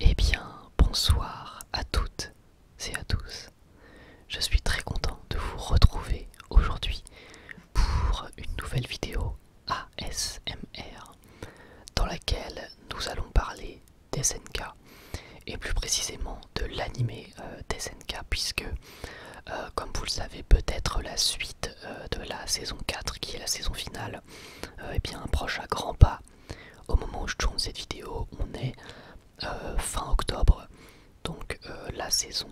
Eh bien, bonsoir à toutes et à tous. Je suis très content de vous retrouver aujourd'hui pour une nouvelle vidéo ASMR dans laquelle nous allons parler des et plus précisément de l'animé euh, puisque euh, comme vous le savez peut-être la suite euh, de la saison 4 qui est la saison finale et euh, eh bien proche à grands pas. Au moment où je tourne cette vidéo on est fin octobre donc la saison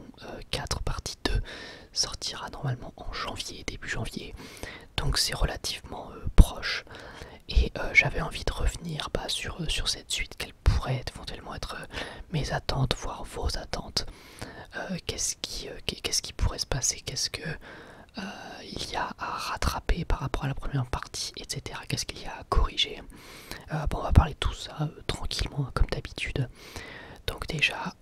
4 partie 2 sortira normalement en janvier, début janvier donc c'est relativement proche et j'avais envie de revenir pas bah, sur, sur cette suite pourrait éventuellement être euh, mes attentes, voire vos attentes. Euh, qu'est-ce qui, euh, qu'est-ce qui, pourrait se passer Qu'est-ce que il y a à rattraper par rapport à la première partie, etc. Qu'est-ce qu'il y a à corriger bon, On va parler de tout ça tranquillement, hein, comme d'habitude. Donc déjà,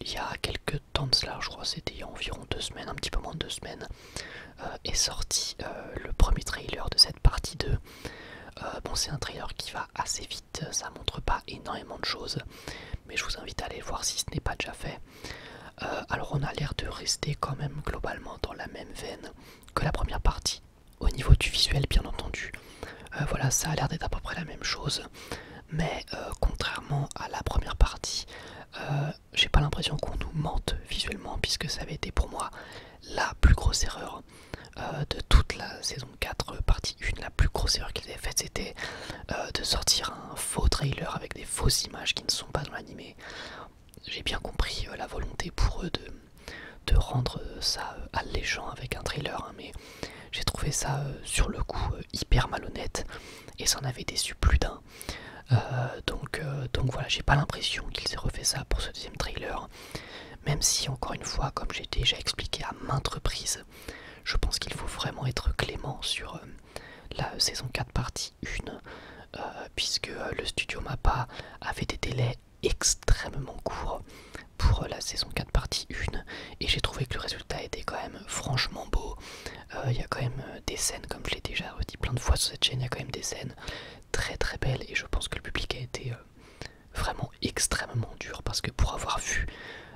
il y a quelques temps de cela, je crois c'était il y a environ deux semaines, un petit peu moins de deux semaines, euh, est sorti euh, le premier trailer de cette partie 2. Euh, bon, c'est un trailer qui va assez vite, ça montre pas énormément de choses, mais je vous invite à aller voir si ce n'est pas déjà fait. alors, on a l'air de rester quand même globalement dans la même veine que la première partie, au niveau du visuel, bien entendu. voilà, ça a l'air d'être à peu près la même chose, mais contrairement à la première partie, j'ai pas l'impression qu'on nous mente visuellement, puisque ça avait été pour moi la plus grosse erreur euh, de toute la saison 4, euh, partie 1. La plus grosse erreur qu'ils avaient faite, c'était euh, de sortir un faux trailer avec des fausses images qui ne sont pas dans l'animé. J'ai bien compris la volonté pour eux de, de rendre ça alléchant avec un trailer, hein, mais j'ai trouvé ça sur le coup hyper malhonnête et ça en avait déçu plus d'un. donc, donc voilà, j'ai pas l'impression qu'ils aient refait ça pour se trailer, même si encore une fois, comme j'ai déjà expliqué à maintes reprises, je pense qu'il faut vraiment être clément sur euh, la saison 4 partie 1, euh, puisque euh, le studio MAPPA avait des délais extrêmement courts pour la saison 4 partie 1, et j'ai trouvé que le résultat était quand même franchement beau. Il y a quand même des scènes, comme je l'ai déjà dit plein de fois sur cette chaîne, il y a quand même des scènes très très belle et je pense que le public a été euh, vraiment extrêmement dur parce que pour avoir vu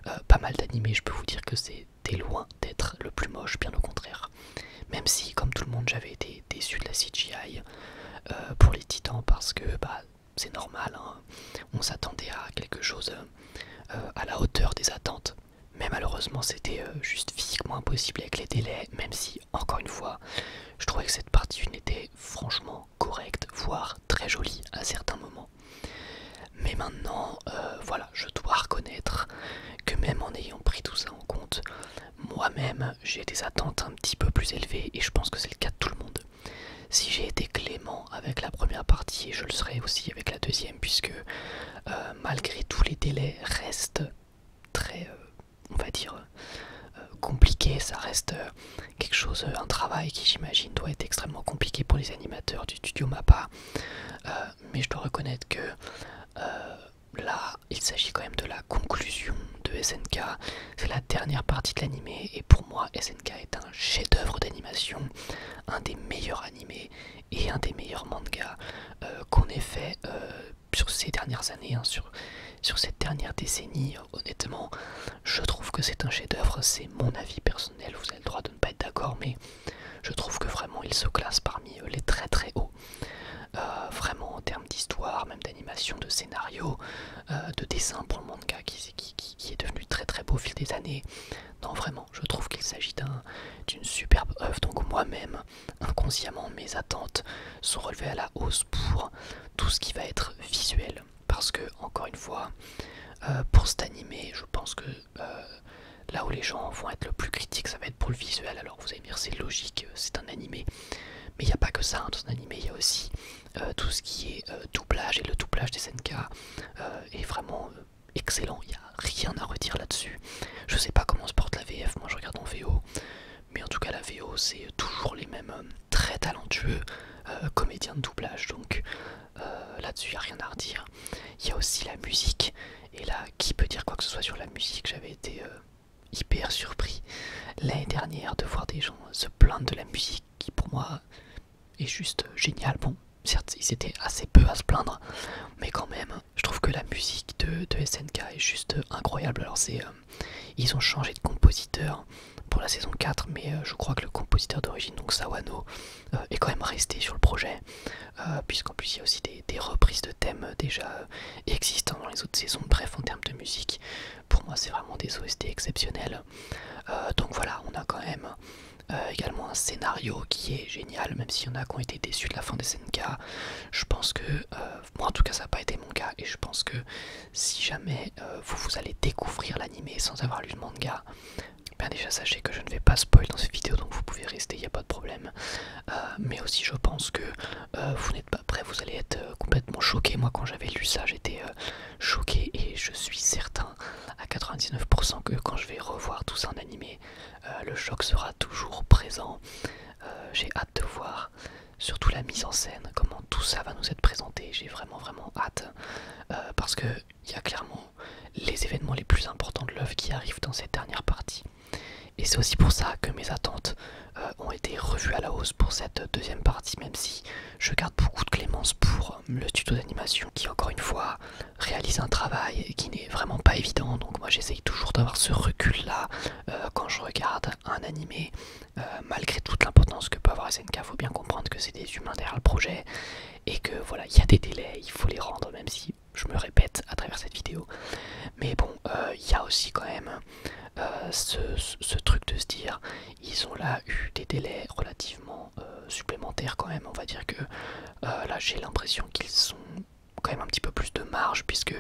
euh, pas mal d'animés, je peux vous dire que c'était loin d'être le plus moche, bien au contraire. Même si, comme tout le monde, j'avais été déçu de la CGI euh, pour les Titans parce que bah, c'est normal, hein. on s'attendait à quelque chose à la hauteur des attentes. Mais malheureusement, c'était juste physiquement impossible avec les délais, même si encore une fois, je trouvais que cette partie une était franchement correcte, voire très jolie à certains moments. Mais maintenant, euh, voilà, je dois reconnaître que même en ayant pris tout ça en compte, moi-même j'ai des attentes un petit peu plus élevées et je pense que c'est le cas de tout le monde. Si j'ai été clément avec la première partie, je le serai aussi avec la deuxième, puisque euh, malgré tous les délais, reste très, euh, on va dire, euh, euh, compliqué. Ça reste quelque chose, un travail qui, j'imagine, doit être extrêmement compliqué pour les animateurs du studio MAPPA. mais je dois reconnaître que là, il s'agit quand même de la conclusion de SNK. C'est la dernière partie de l'animé, et pour moi, SNK est un chef-d'œuvre d'animation, un des meilleurs animés et un des meilleurs mangas qu'on ait fait sur ces dernières années, hein, sur, cette dernière décennie, euh, honnêtement, je trouve que c'est un chef-d'œuvre, c'est mon avis personnel, vous avez le droit de ne pas être d'accord, mais je trouve que vraiment il se classe parmi euh, les très très hauts. Euh, vraiment en termes d'histoire, même d'animation, de scénario, de dessin pour le manga qui, est devenu très très beau au fil des années. Non, vraiment, je trouve qu'il s'agit d'une superbe œuvre, donc moi-même, inconsciemment mes attentes sont relevées à la hausse pour tout ce qui va être visuel. Parce que, encore une fois, euh, pour cet animé, je pense que euh, là où les gens vont être le plus critiques, ça va être pour le visuel. Alors vous allez me dire, c'est logique, euh, c'est un animé. Mais il n'y a pas que ça, hein. dans un animé, il y a aussi tout ce qui est doublage, et le doublage des SNK est vraiment excellent, il n'y a rien à redire là-dessus. Je sais pas comment se porte la VF, moi je regarde en VO, mais en tout cas la VO c'est toujours les mêmes très talentueux euh, comédiens de doublage donc euh, là-dessus il a rien à redire. Il y a aussi la musique et là qui peut dire quoi que ce soit sur la musique j'avais été euh, hyper surpris l'année dernière de voir des gens se plaindre de la musique qui pour moi est juste géniale. Bon certes ils étaient assez peu à se plaindre mais quand même je trouve que la musique de, de SNK est juste euh, incroyable. Alors c'est, euh, ils ont changé de compositeur pour la saison 4, mais euh, je crois que le compositeur d'origine, donc Sawano, est quand même resté sur le projet, puisqu'en plus il y a aussi des, reprises de thèmes déjà existants dans les autres saisons. Bref, en termes de musique, pour moi c'est vraiment des OST exceptionnels. donc voilà, on a quand même également un scénario qui est génial, même s'il y en a qui ont été déçus de la fin de SNK. Je pense que euh, moi en tout cas ça n'a pas été mon cas et je pense que si jamais euh, vous, vous allez découvrir l'anime sans avoir lu le manga, bien déjà sachez que je ne vais pas spoil dans cette vidéo donc vous pouvez rester, il n'y a pas de problème. Euh, mais aussi je pense que vous n'êtes pas prêt, vous allez être complètement choqué. Moi quand j'avais lu ça j'étais choqué et je suis certain à 99% que quand je vais revoir tout ça en animé, le choc sera toujours présent. Euh, j'ai hâte de voir surtout la mise en scène, comment tout ça va nous être présenté. J'ai vraiment vraiment hâte euh, parce que il y a clairement les événements les plus importants de l'œuvre qui arrivent dans cette dernière partie. Et c'est aussi pour ça que mes attentes euh, ont été revues à la hausse pour cette deuxième partie, même si je garde beaucoup de clémence pour le tuto d'animation qui, encore une fois, réalise un travail qui n'est vraiment pas évident. Donc moi j'essaye toujours d'avoir ce recul-là euh, quand je regarde un animé, euh, malgré toute l'importance que peut avoir SNK, faut bien comprendre que c'est des humains derrière le projet et que voilà, il y a des délais, il faut les rendre, même si je me répète à travers cette vidéo. Mais bon, euh, il y a aussi quand même ce, truc de se dire, ils ont là eu des délais relativement supplémentaires quand même. On va dire que là, j'ai l'impression qu'ils sont quand même un petit peu plus de marge puisque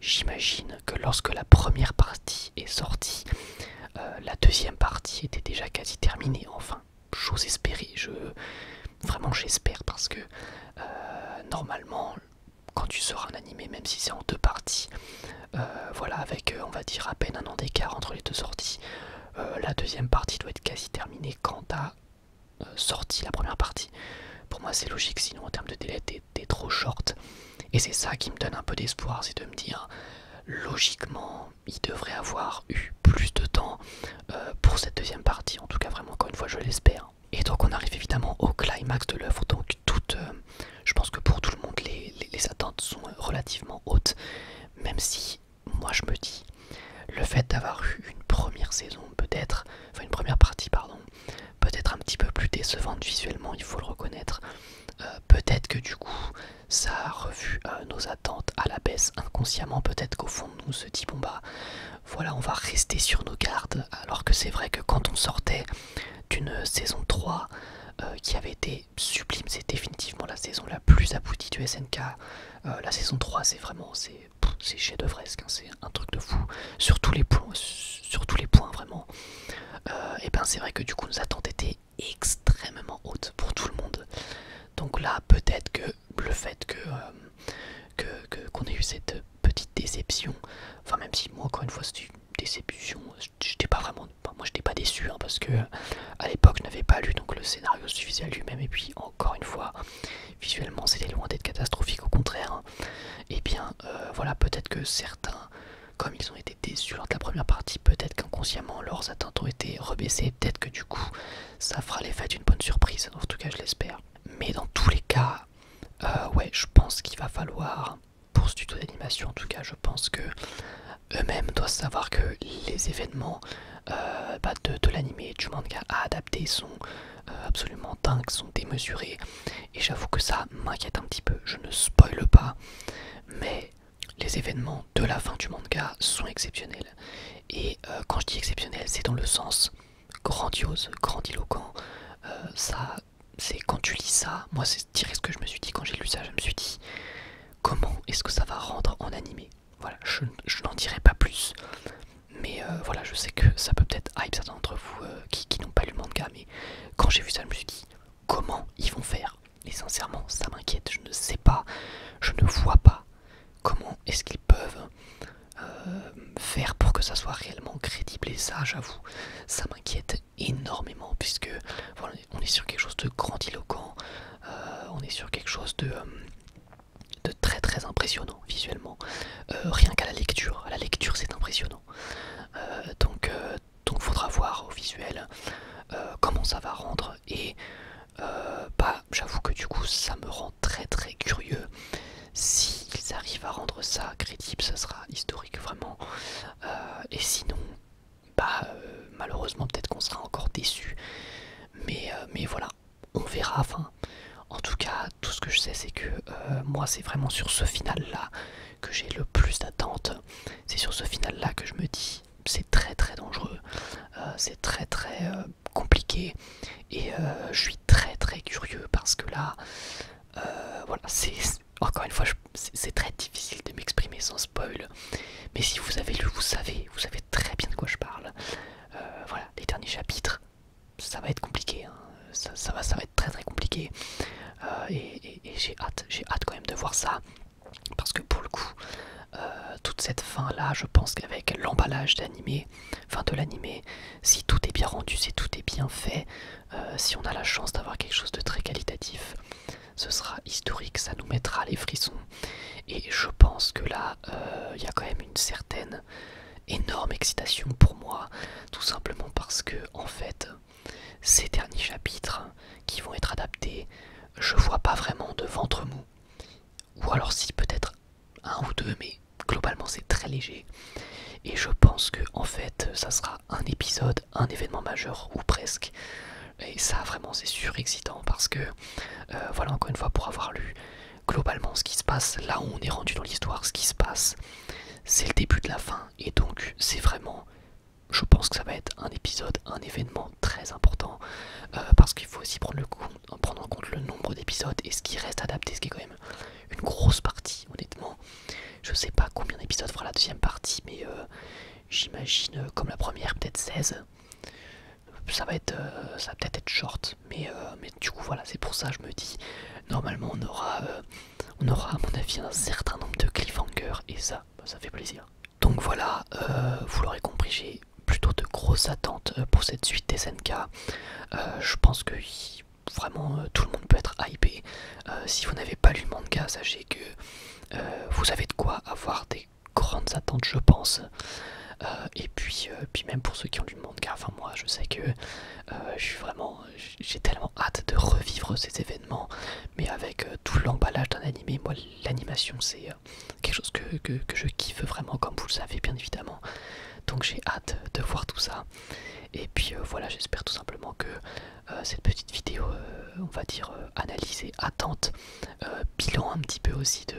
j'imagine que lorsque la première partie est sortie, euh, la deuxième partie était déjà quasi terminée. Enfin, chose espérer, Je, vraiment, j'espère parce que euh, normalement, quand tu sors un animé, même si c'est en deux parties, euh, voilà, avec on va dire à peine un an d'écart entre les deux sorties, la deuxième partie doit être quasi terminée quand t'as sorti la première partie. Pour moi, c'est logique, sinon en termes de délai, t'es trop short. Et c'est ça qui me donne un peu d'espoir, c'est de me dire, logiquement, il devrait avoir eu plus de temps euh, pour cette deuxième partie, en tout cas vraiment encore une fois je l'espère. Et donc on arrive évidemment au climax de l'oeuvre donc toute, euh, je pense que pour tout le monde les, les attentes sont relativement hautes, même si moi je me dis, le fait d'avoir eu une première saison peut-être, enfin une première partie pardon, peut-être un petit peu plus décevante visuellement, il faut le reconnaître. Euh, peut-être que du coup, ça a revu euh, nos attentes à la baisse inconsciemment. Peut-être qu'au fond, nous se dit bon bah, voilà, on va rester sur nos gardes. Alors que c'est vrai que quand on sortait d'une saison 3 euh, qui avait été sublime, c'est définitivement la saison la plus aboutie du SNK. la saison 3, c'est vraiment, c'est chez de hein, c'est un truc de fou sur tous les points, sur les points vraiment. Euh, et ben c'est vrai que du coup nos attentes étaient extrêmement hautes pour tout le monde. Donc là peut-être que le fait que euh, qu'on ait eu cette petite déception, enfin même si moi encore une fois c'était une déception, euh, j'étais pas vraiment, moi j'étais pas déçu hein, parce que à l'époque je n'avais pas lu donc le scénario suffisait à lui-même et puis encore une fois visuellement c'était loin d'être catastrophique au contraire. Et hein. eh bien euh, voilà, peut-être que certains, comme ils ont été déçus lors de la première partie, peut-être qu'inconsciemment leurs attentes ont été rebaissées, peut-être que du coup ça fera l'effet d'une bonne surprise, en tout cas je l'espère. Mais dans tous les cas, euh, ouais, je pense qu'il va falloir, pour ce tuto d'animation en tout cas, je pense que eux-mêmes doivent savoir que les événements euh, bah, de, de l'anime et du manga à adapter sont euh, absolument dingues, sont démesurés, Et j'avoue que ça m'inquiète un petit peu. Je ne spoile pas, mais les événements de la fin du manga sont exceptionnels. Et euh, quand je dis exceptionnel, c'est dans le sens grandiose, grandiloquent. Euh, ça, c'est quand tu lis ça, moi c'est dire ce que je me suis dit quand j'ai lu ça, je me suis dit comment est-ce que ça va rendre en animé. Voilà, je n'en dirai pas plus. Mais euh, voilà, je sais que ça peut peut-être hype certains d'entre vous euh, qui, n'ont pas lu le manga, mais quand j'ai vu ça, je me suis dit comment ils vont faire Et sincèrement, ça m'inquiète, je ne sais pas, je ne vois pas comment est-ce qu'ils peuvent euh, faire pour que ça soit réellement crédible. Et ça, j'avoue, ça m'inquiète énormément, puisque on est sur quelque chose de grandiloquent, on est sur quelque chose de très très impressionnant visuellement, euh, rien qu'à la lecture. À la lecture, c'est impressionnant. Euh, donc, euh, donc, faudra voir au visuel comment ça va rendre. Et bah, j'avoue que du coup, ça me rend très très curieux. ils arrivent à rendre ça crédible, ça sera historique vraiment. et sinon, bah, malheureusement, peut-être qu'on sera encore déçu. mais voilà, on verra. Enfin, en tout cas, tout ce que je sais, c'est que euh, moi, c'est vraiment sur ce final-là que j'ai le plus d'attente. C'est sur ce final-là que je me dis, c'est très très dangereux, euh, c'est très très euh, compliqué, et je suis très très curieux parce que là, voilà, c'est encore une fois, c'est très difficile de m'exprimer sans spoil. Mais si vous avez lu, vous savez, vous savez très bien de quoi je parle. voilà, les derniers chapitres, ça va être compliqué. Hein. Ça, va, être très très compliqué. Euh, et, j'ai hâte, j'ai hâte quand même de voir ça. Parce que pour le coup, euh, toute cette fin là, je pense qu'avec l'emballage d'animé, fin de l'animé, si tout est bien rendu, si tout est bien fait, euh, si on a la chance d'avoir quelque chose de très qualitatif, ce sera historique, ça nous mettra les frissons. Et je pense que là, il y a quand même une certaine Énorme excitation pour moi, tout simplement parce que, en fait, ces derniers chapitres qui vont être adaptés, je vois pas vraiment de ventre mou. Ou alors si peut-être un ou deux, mais globalement c'est très léger. Et je pense que en fait ça sera un épisode, un événement majeur, ou presque. Et ça vraiment c'est surexcitant parce que euh, voilà encore une fois pour avoir lu globalement, ce qui se passe, là où on est rendu dans l'histoire, ce qui se passe, c'est le début de la fin. Et donc, c'est vraiment, je pense que ça va être un épisode, un événement très important, euh, parce qu'il faut aussi prendre, le en compte le nombre d'épisodes et ce qui reste adapté, ce qui est quand même une grosse partie, honnêtement. Je sais pas combien d'épisodes fera la deuxième partie, mais euh, j'imagine, euh, comme la première, peut-être 16. Ça va, être, ça va peut-être être short, euh, mais, du coup voilà c'est pour ça je me dis normalement on aura euh, on aura à mon avis un certain nombre de cliffhangers et ça bah, ça fait plaisir donc voilà euh, vous l'aurez compris j'ai plutôt de grosses attentes pour cette suite des SNK je pense que vraiment tout le monde peut être hypé si vous n'avez pas lu le manga sachez que vous avez de quoi avoir des grandes attentes je pense et puis, puis même pour ceux qui ont monde car enfin moi je sais que euh, je suis vraiment j'ai tellement hâte de revivre ces événements mais avec euh, tout l'emballage d'un animé moi l'animation c'est euh, quelque chose que, je kiffe vraiment comme vous le savez bien évidemment donc j'ai hâte de voir tout ça et puis voilà j'espère tout simplement que cette petite vidéo on va dire analyse analysée attente bilan un petit peu aussi de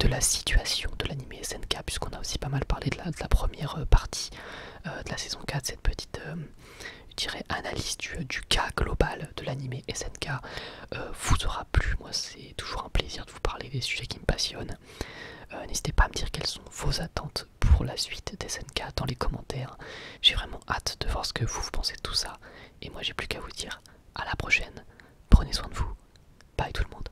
de la situation de l'anime SNK, puisqu'on a aussi pas mal parlé de la, de la première euh, partie euh, de la saison 4, cette petite euh, analyse du, cas global de l'anime SNK vous aura plu. Moi, c'est toujours un plaisir de vous parler des sujets qui me passionnent. N'hésitez pas à me dire quelles sont vos attentes pour la suite des SNK dans les commentaires. J'ai vraiment hâte de voir ce que vous, vous pensez de tout ça. Et moi, j'ai plus qu'à vous dire à la prochaine. Prenez soin de vous. Bye tout le monde.